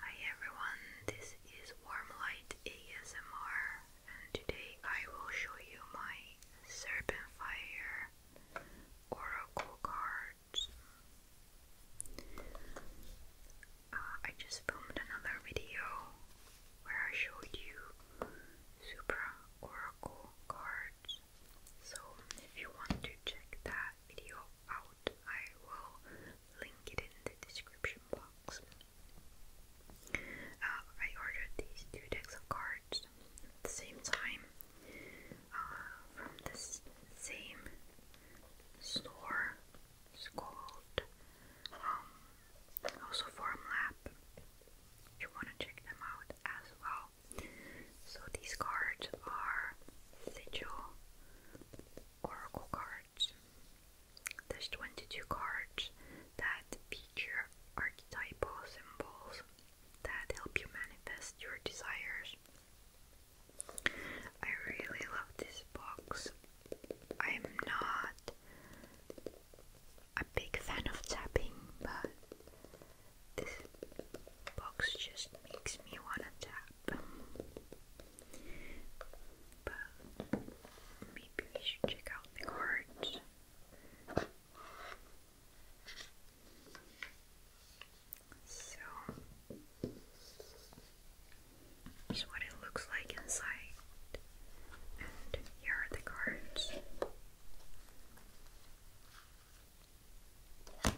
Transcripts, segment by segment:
Hi everyone, this is Warm Light ASMR and today I will show you my Serpentfire Oracle cards. Uh, I just filmed another video where I showed you Supra Oracle cards. So if you want to check that video out, out. I will link it in the description box. Uh, I ordered these two decks of cards at the same time uh, from the same store. It's called um, also Form Lab. You want to check them out as well. So these cards are sigil oracle cards. There's 22 cards that feature archetypal symbols that help you manifest your desires. I really love this box. I'm not a big fan of tapping, but this box just makes me wanna tap. But maybe we should check out the cards. So here's what it looks like inside. And here are the cards. And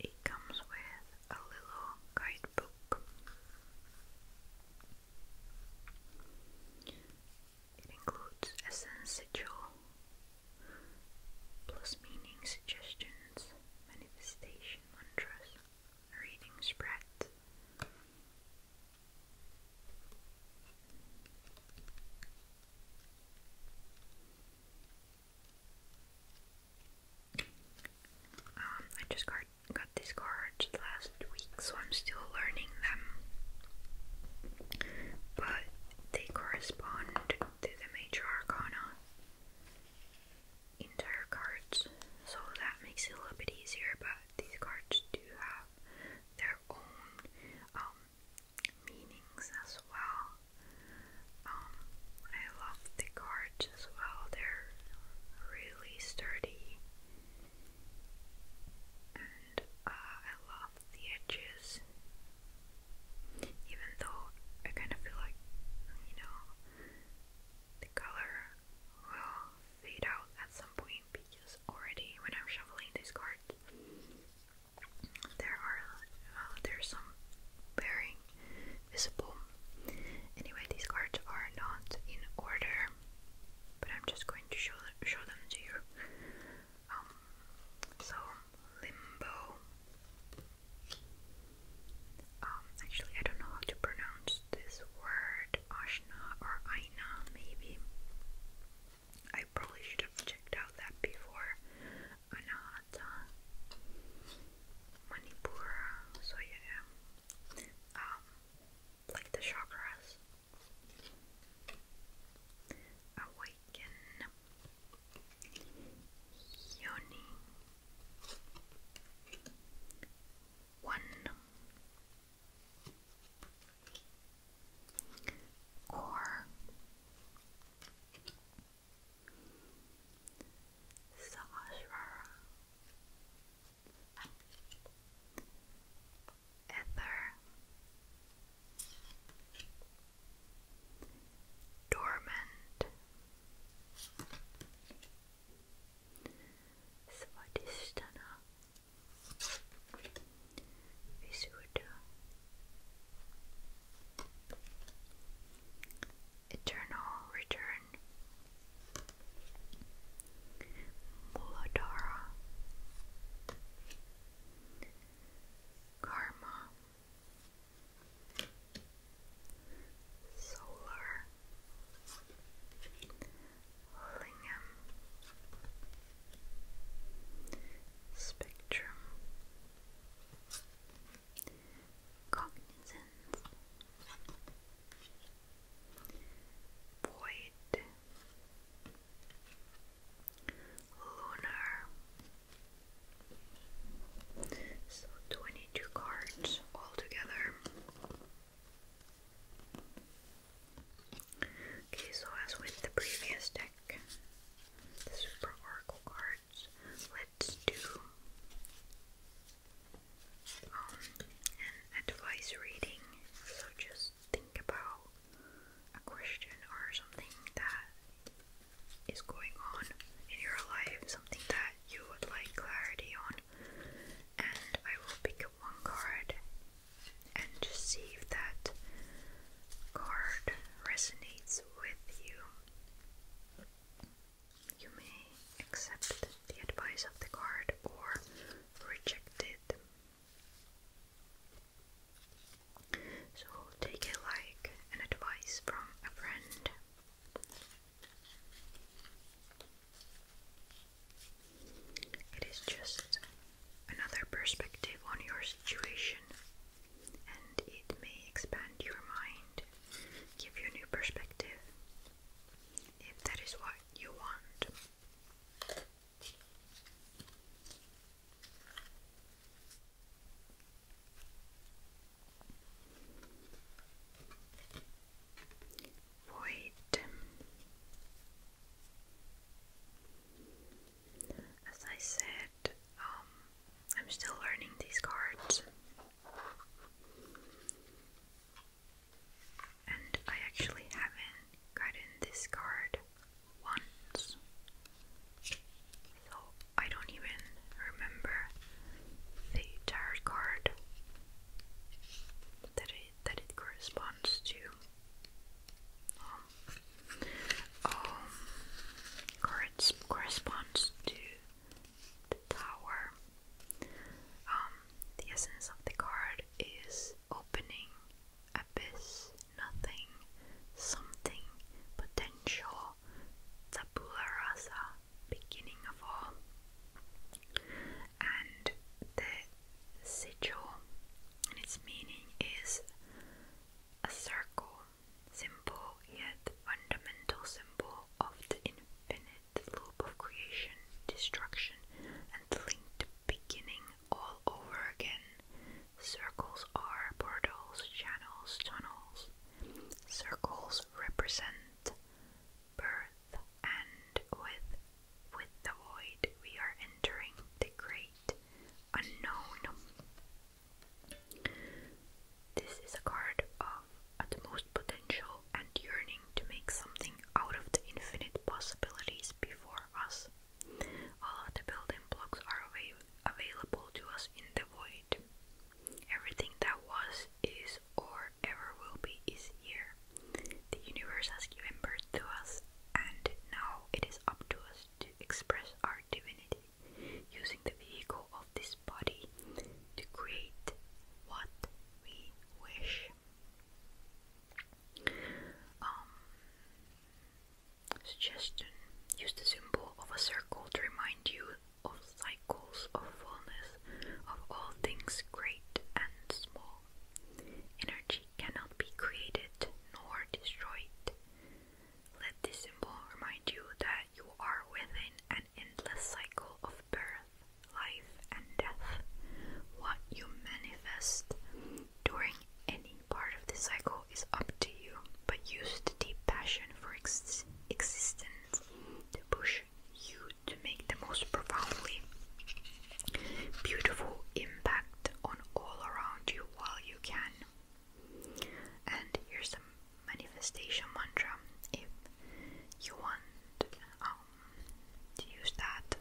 it comes with a little guidebook. It includes essence, jewel, plus meaning suggestions, manifestation mantras, reading spread. Um, I just got got these cards last week, so I'm still learning them. But they correspond to the major arcana entire cards, so that makes it a little bit easier. But these cards do have their own um, meanings as well. Um, I love the cards as well, they're really sturdy, and uh, I love the edges, even though I kind of feel like, you know, the color will fade out at some point because already when I'm shuffling these cards, there are uh, there's some bearing visible. Anyway, these cards are not in order, but I'm just going to show show them to you. Um, so limbo. Um, actually, I don't know how to pronounce this word, Ashna or Aina, maybe. I probably should have checked out that before. Anahata, Manipura, so yeah. Um, like the chakras, Awaken Yoni One Core Sahasrara ether, dormant. Svadhisthana Visuddha Eternal Return Muladhara Karma, Solar, Lingam, Spectrum, Cognizance, Void lunar. So 22 cards altogether. Okay, so as with the previous deck, the Super Oracle cards, let's do um, an advice reading. So just think about a question or something that is going on in your life, something that you would like clarity on, and I will pick up one card and just see if that card resonates with you. You may accept the advice of the card or reject it. So take it like an advice from a friend. It is just another perspective on your situation, and it may expand your mind, give you a new perspective if that is what you want. Void. As I said, um, I'm still learning these cards and I actually haven't gotten this card once. So I don't even remember the tarot card that it that it corresponds to. Um, um cards corresponds to the tower. Um, the essence of the card is opening abyss, nothing, something, potential, tabula rasa, beginning of all. And the sigil and its meaning is a circle, symbol yet fundamental symbol of the infinite loop of creation, destruction, and beginning all over again. Circles are portals, channels, tunnels. Circles represent birth, and with with the void we are entering the great unknown. This is a card of utmost potential and yearning to make something out of the infinite possibilities before us. All the building blocks are available to us in the void. Everything that was, is, or ever will be is here. The universe has given birth to us, and now it is up to us to express our divinity using the vehicle of this body to create what we wish. Um, suggestion Use the symbol of a circle to remind you of cycles of fullness, of all things great and small. Energy cannot be created nor destroyed. Let this symbol remind you that you are within an endless cycle of birth, life, and death. What you manifest during any part of the cycle is up to you, but use the deep passion for ex existence to push you to make the most profoundly beautiful impact on all around you while you can. And here's the manifestation mantra if you want. Oh, to use that.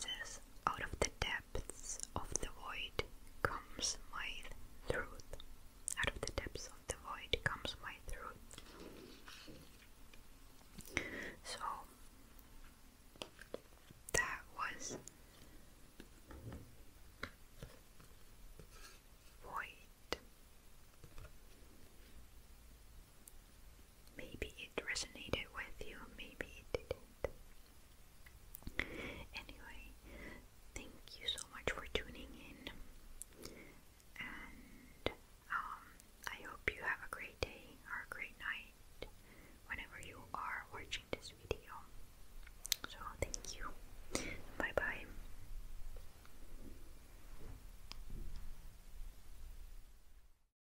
says, out of the depths of the void comes my truth. Out of the depths of the void comes my truth. So that was void. Maybe it resonated with you, maybe it didn't. Anyway, thank you so much for tuning in, and um, I hope you have a great day or a great night whenever you are watching this video. So, thank you. Bye bye.